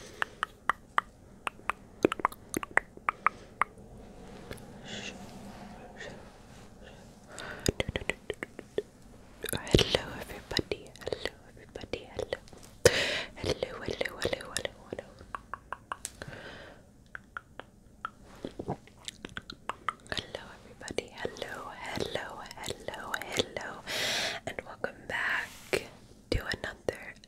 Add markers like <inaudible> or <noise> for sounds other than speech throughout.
Hello, everybody. Hello, everybody. Hello. Hello, hello, hello, hello, hello. Hello, everybody. Hello, hello, hello, hello. And welcome back to another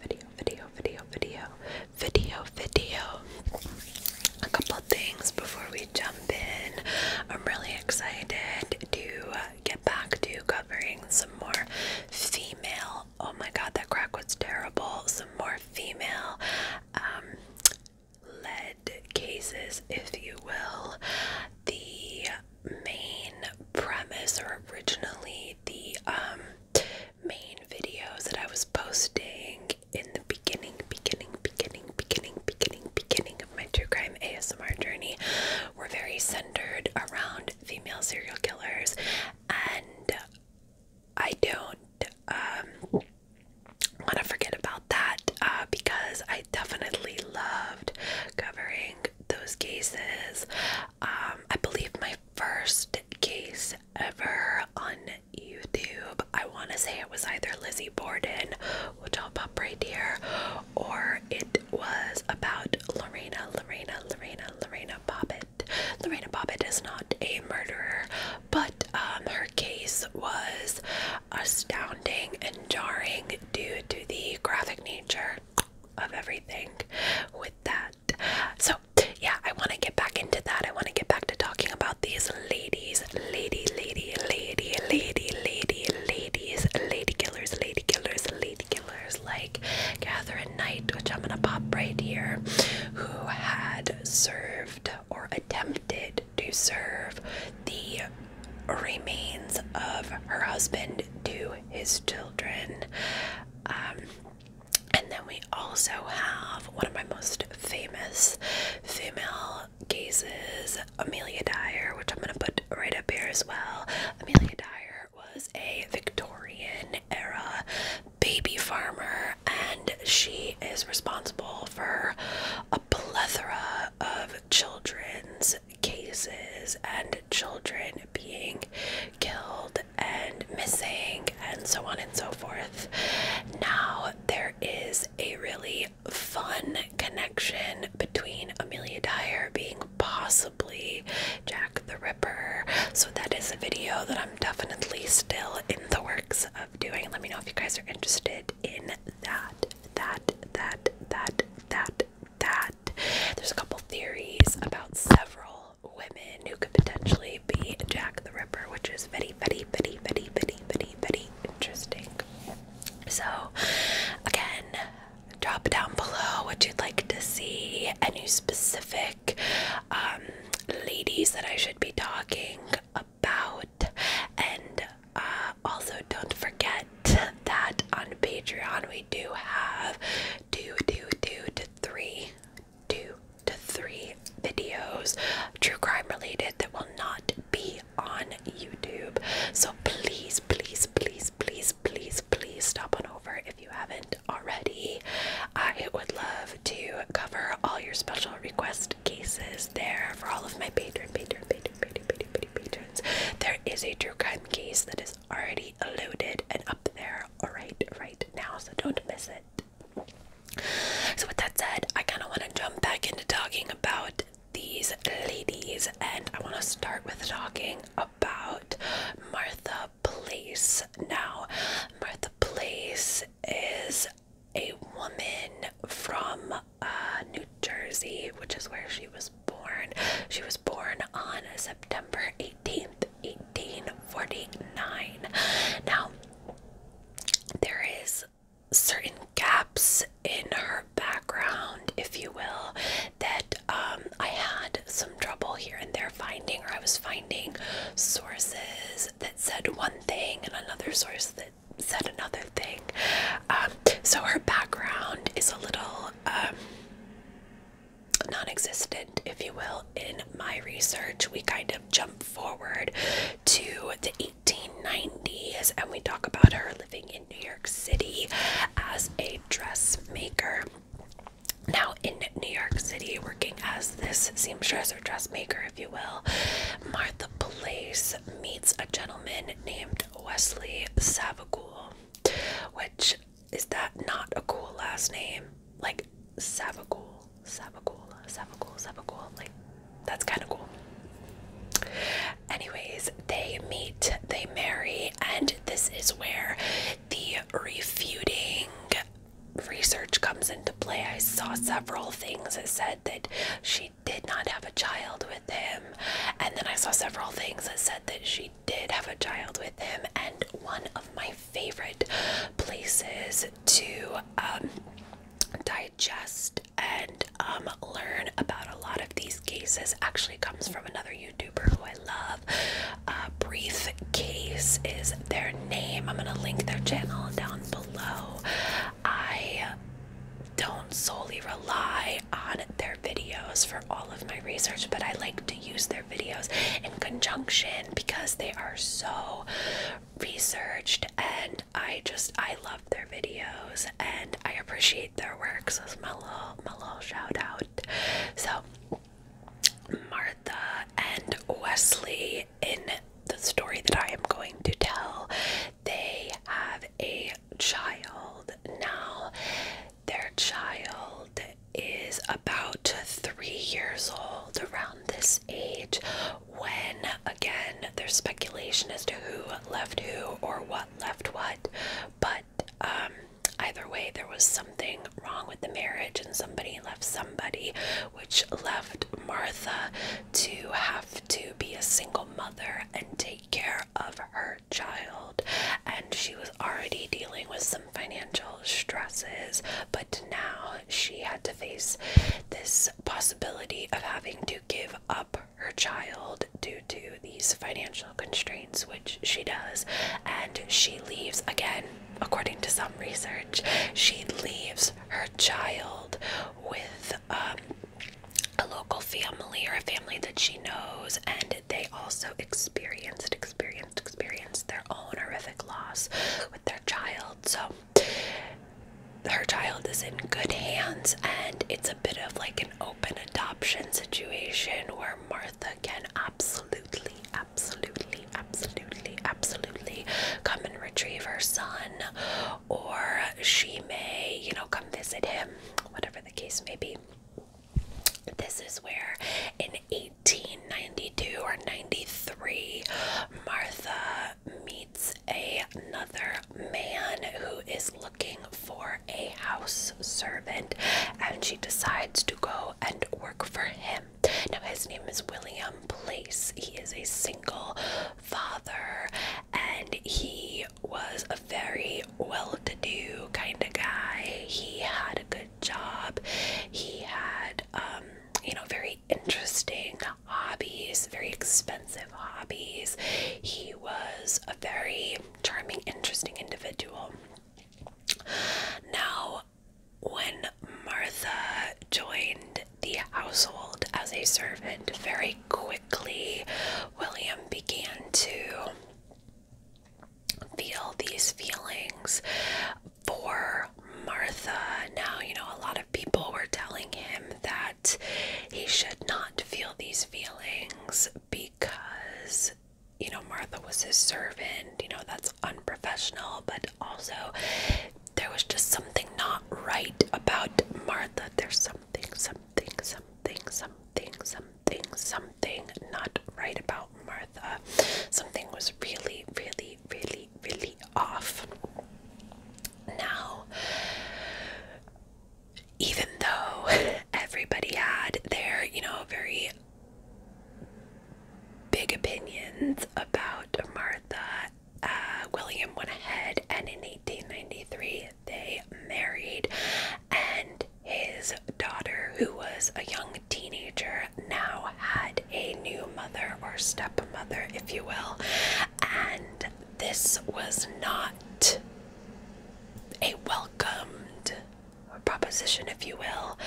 video, video, video, video, video, video. A couple things before we jump in. I'm really excited to get back to covering some more female. Oh my god, that crack was terrible. Some more female um, lead cases, if you will. The main premise, or originally the um, main videos that I was posting in the beginning, beginning, beginning, beginning, beginning, beginning of my true crime ASMR journey were very centered around female serial killers, and I don't um, want to forget about that uh, because I definitely loved covering those cases. Um, I believe my first case ever on YouTube. I want to say it was either Lizzie Borden, which I'll pop right here, or it was about Lorena, Lorena, Lorena, Lorena Bobbitt. Lorena Bobbitt is not a murderer, but um, her case was astounding and jarring due to the graphic nature of everything with that. So yeah, I want to get back into that. I want to get back to talking about these ladies, lady, lady, lady, lady, lady, ladies, lady killers, lady killers, lady killers, like Catherine Knight, which I'm going to pop right here, who had served or attempted to serve the remains of her husband to his children. Um, and then we also have one of my most famous female cases, Amelia Dyer, which I'm going to put right up here as well. Amelia Dyer was a Victorian era baby farmer, and she is responsible for a plethora of children's cases and children being killed and missing, and so on and so forth. Now, there is a really fun connection between Amelia Dyer being possibly Jack the Ripper. So, that is a video that I'm definitely still in the works of doing. Let me know if you guys are interested in that. That, that, that, that, that. There's a couple theories about several all women who could potentially be Jack the Ripper, which is very, very, very, very, very, very, very interesting. So, again, drop down below what you'd like to see, any specific um, ladies that I should be talking about, and uh, also don't forget that on Patreon we do have two, two, two to three two to three videos, true crime related, that will not be on YouTube. So please, please, please, please, please, please stop on over if you haven't already. I would love to cover all your special request cases there for all of my patron, patron, patron, patron, patron, patrons. There is a true crime case that is already loaded and up there right right now, so don't miss it. So with that said, I kind of want to jump back into talking about these ladies, and I want to start with talking about Martha Place. Now, Martha Place is a woman from uh, New Jersey, which is where she was born. She was born on September 18th, 1849. Now, there is certain gaps in her background, if you will, that um, I had some trouble here and there finding, or I was finding sources that said one thing and another source that said another thing. Um, so her background is a little um, Nonexistent, if you will, in my research. We kind of jump forward to the 1890s and we talk about her living in New York City as a dressmaker. Now, in New York City, working as this seamstress or dressmaker, if you will, Martha Place meets a gentleman named Wesley Savagool, which is that not a cool last name? Like Savagul, Savagul, Savagul, Savagul. Like that's kind of cool. Anyways, they meet, they marry, and this is where the refuting research comes into play. I saw several things that said that she did not have a child with him, and then I saw several things that said that she did have a child with him. And one of my favorite places to um, digest and um, learn about a lot of these cases actually comes from another YouTuber who I love. Uh, Brief Case is their name. I'm going to link their channel down below. I don't solely rely on their videos for all of my research, but I like to use their videos in conjunction because they are so researched and I just I love their videos and I appreciate their work. So it's my little my little shout out. So Martha and Wesley in the story that I am going to tell, they have a child now. Their child is about three years old around this age when, again, there's speculation as to who left who or what left what, but um, either way, there was something wrong with the marriage and somebody left somebody, which left Martha to have to be a single mother and take care of her child and she was already dealing with some financial stresses, but now she had to face this possibility of having to give up her child due to these financial constraints, which she does, and she leaves again. According to some research, she leaves her child with um, a local family or a family that she knows, and they also experienced, experienced, experienced their own horrific loss with their child. So her child is in good hands, and it's a bit of like an open adoption situation where Martha can absolutely, absolutely, absolutely, absolutely come and retrieve her son, or she may, you know, come visit him, whatever the case may be. This is where in 1892 or 93 Martha meets a, another man who is looking for a house servant and she decides to go and work for him. Now his name is William Place. He is a single father and he was a very well-to-do kind of guy. He had a good job. He had, um, you know, very interesting hobbies, very expensive hobbies. He was a very charming, interesting individual. Now, when Martha joined the household as a servant, very quickly William began to feel these feelings for Martha. Now, you know, a lot of people were telling him that he should not feel these feelings because, you know, Martha was his servant. You know, that's unprofessional, but also there was just something not right about Martha. There's something, something, something, something, something something, not right about Martha. Something was really, really, really, really off. Now, even though <laughs> everybody had their, you know, very big opinions about Martha, uh, William went ahead and in 1893 they married and his daughter, who was a young teenager, now had a new mother or stepmother, if you will, and this was not a welcomed proposition, if you will.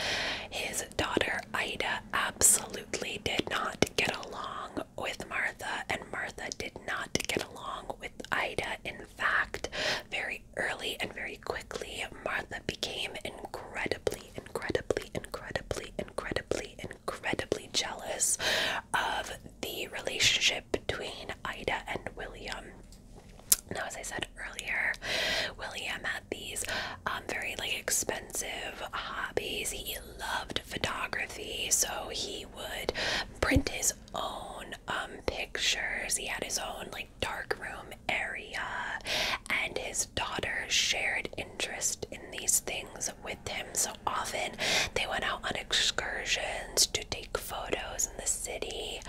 His daughter Ida absolutely did not get along with Martha, and Martha did not get along with Ida. In fact, very early and very quickly, Martha became incredibly, incredibly, incredibly, incredibly, incredibly jealous of the relationship between Ida and William. Now, as I said earlier, William had these um, very like expensive hobbies. He loved photography, so he would print his own um, pictures. He had his own like Dark room area, and his daughter shared interest in these things with him. So often they went out on excursions to take photos in the city,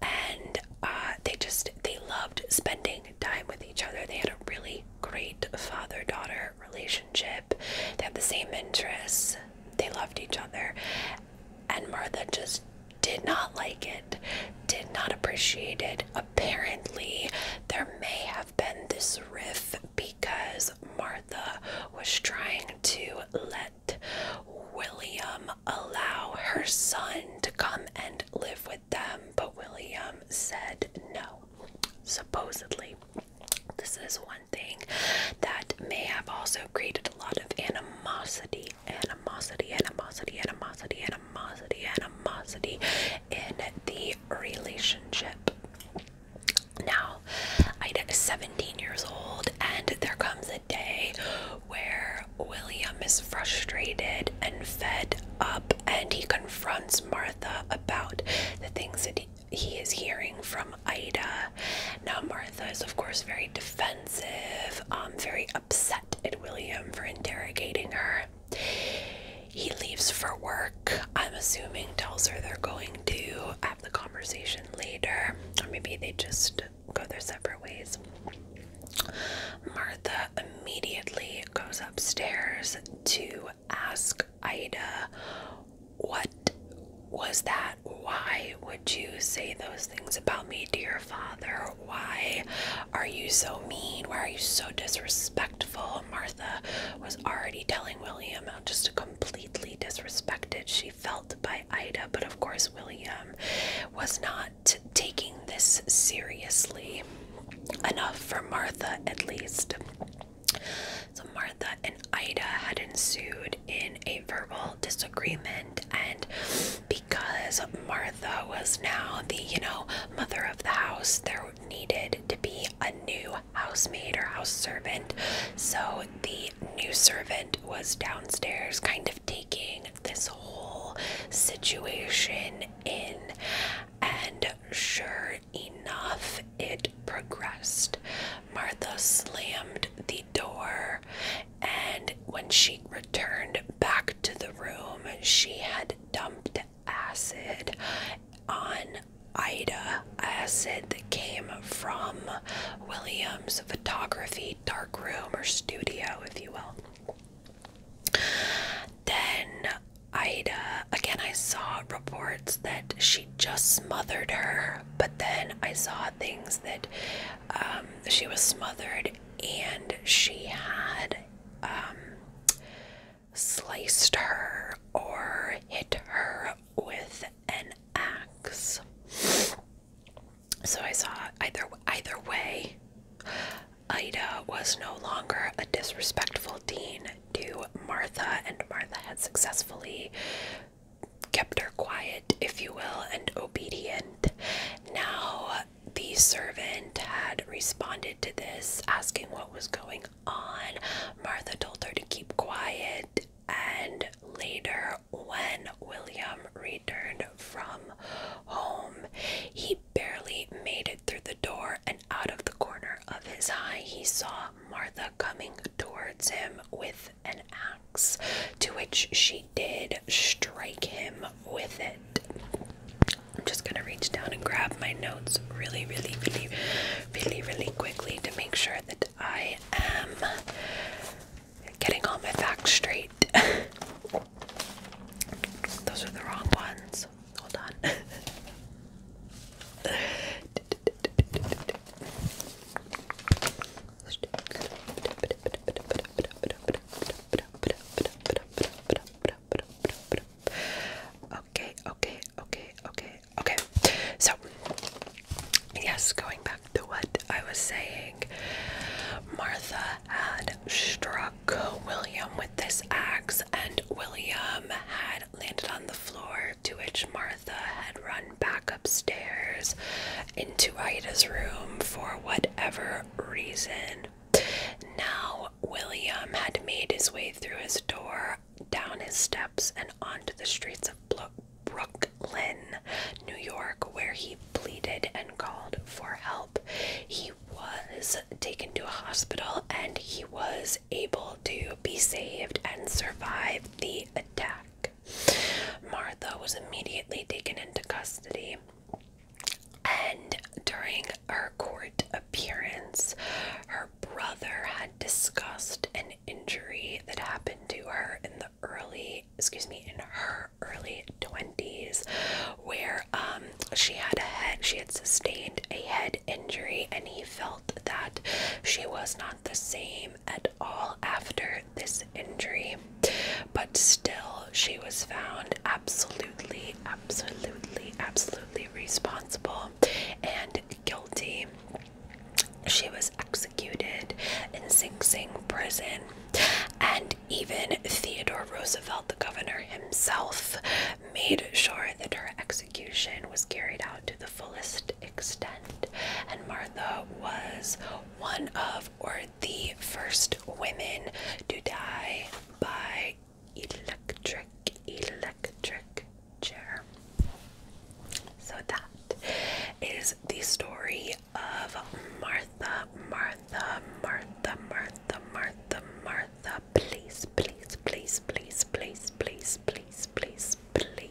and uh, they just they loved spending time with each other. They had a really great father-daughter relationship. They had the same interests. They loved each other, and Martha just did not like it, did not appreciate it. Apparently, there may have been this riff because Martha was trying to let William allow her son to come and live with them, but William said no, supposedly. This is one thing that may have also created a lot of animosity animosity, animosity, animosity, animosity, animosity, in the relationship. Now, Ida is 17 years old, and there comes a day where William is frustrated and fed up, and he confronts Martha about the things that he he is hearing from Ida. Now, Martha is, of course, very defensive defensive, um, very upset at William for interrogating her. He leaves for work, I'm assuming, tells her they're going to have the conversation later, or maybe they just go their separate ways. Martha immediately goes upstairs to ask Ida what was that why would you say those things about me dear father? Why are you so mean? Why are you so disrespectful? Martha was already telling William how just completely disrespected she felt by Ida, but of course, William was not taking this seriously enough for Martha at least. So, Martha and Ida had ensued in a verbal disagreement and because Martha was now the, you know, mother of the house, there needed to be a new housemaid or house servant. So the new servant was downstairs kind of taking this whole situation in and sure enough it progressed. Martha slammed the door, and when she returned back to the room, she had dumped acid on Ida, acid that came from William's photography darkroom or studio, if you will. Then Ida, again, I saw reports that she just smothered her, but then I saw things that um, she was smothered and she had um, sliced her or hit her with an axe. So I saw either either way, Ida was no longer a disrespectful dean to Martha, and Martha had successfully kept her quiet, if you will, and obedient. Now, the servant had responded to this, asking what was going on. Martha told her to keep quiet, and later, when William returned from home, he barely made it through the door, and out of the corner of his eye, he saw Martha coming towards him with an axe, to which she did strike him with it. I'm just gonna reach down and grab my notes really, really, really, really, really quickly to make sure that I am getting all my facts straight. <laughs> Those are the wrong ones. Hold on. <laughs> Okay, okay, okay, okay, okay. So, yes, going back to what I was saying, Martha had struck William with this axe, and William had landed on the floor, to which Martha had run back upstairs into Ida's room for whatever reason. Now, William had made his way through his door, down his steps, and onto the streets of Brooklyn, New York, where he pleaded and called for help. He was taken to a hospital and he was able to be saved and survive the attack. Martha was immediately taken into custody, and during her court appearance, her brother had discussed an injury that happened to her in the early, excuse me, in her early 20s, where um, she had a head, she had sustained a head injury, and he felt that she was not the same at all after this injury, but still, she was found absolutely, absolutely, absolutely responsible and guilty. She was executed in Sing Sing prison, and even Theodore Roosevelt, the governor himself, made sure that her execution was carried out to the fullest extent. And Martha was one of, or the first women to die by electric, electric chair. So that is the story of Martha, Martha, Martha, Martha, Martha, Martha. Please, please, please, please, please, please, please, please, please.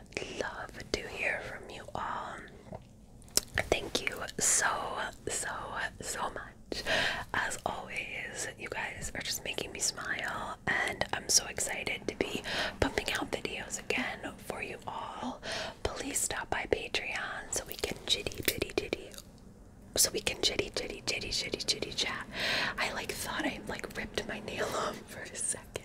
would love to hear from you all. Thank you so, so, so much. As always, you guys are just making me smile, and I'm so excited to be pumping out videos again for you all. Please stop by Patreon so we can chitty, chitty, chitty. So we can chitty, chitty, chitty, chitty, chitty chat. I like thought I like ripped my nail off for a second.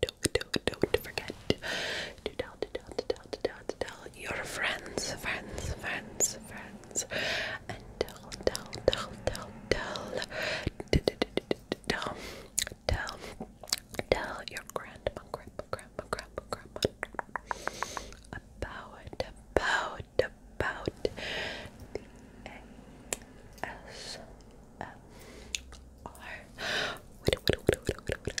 don't, don't, don't forget to tell, to tell, to tell, to tell, to tell your friends, friends, friends, friends, and tell, tell, tell, tell, tell, tell, tell, tell your grandma, grandma, grandma, grandma, grandma about, about, about the ASMR. Wait, wait, wait, wait, wait, wait.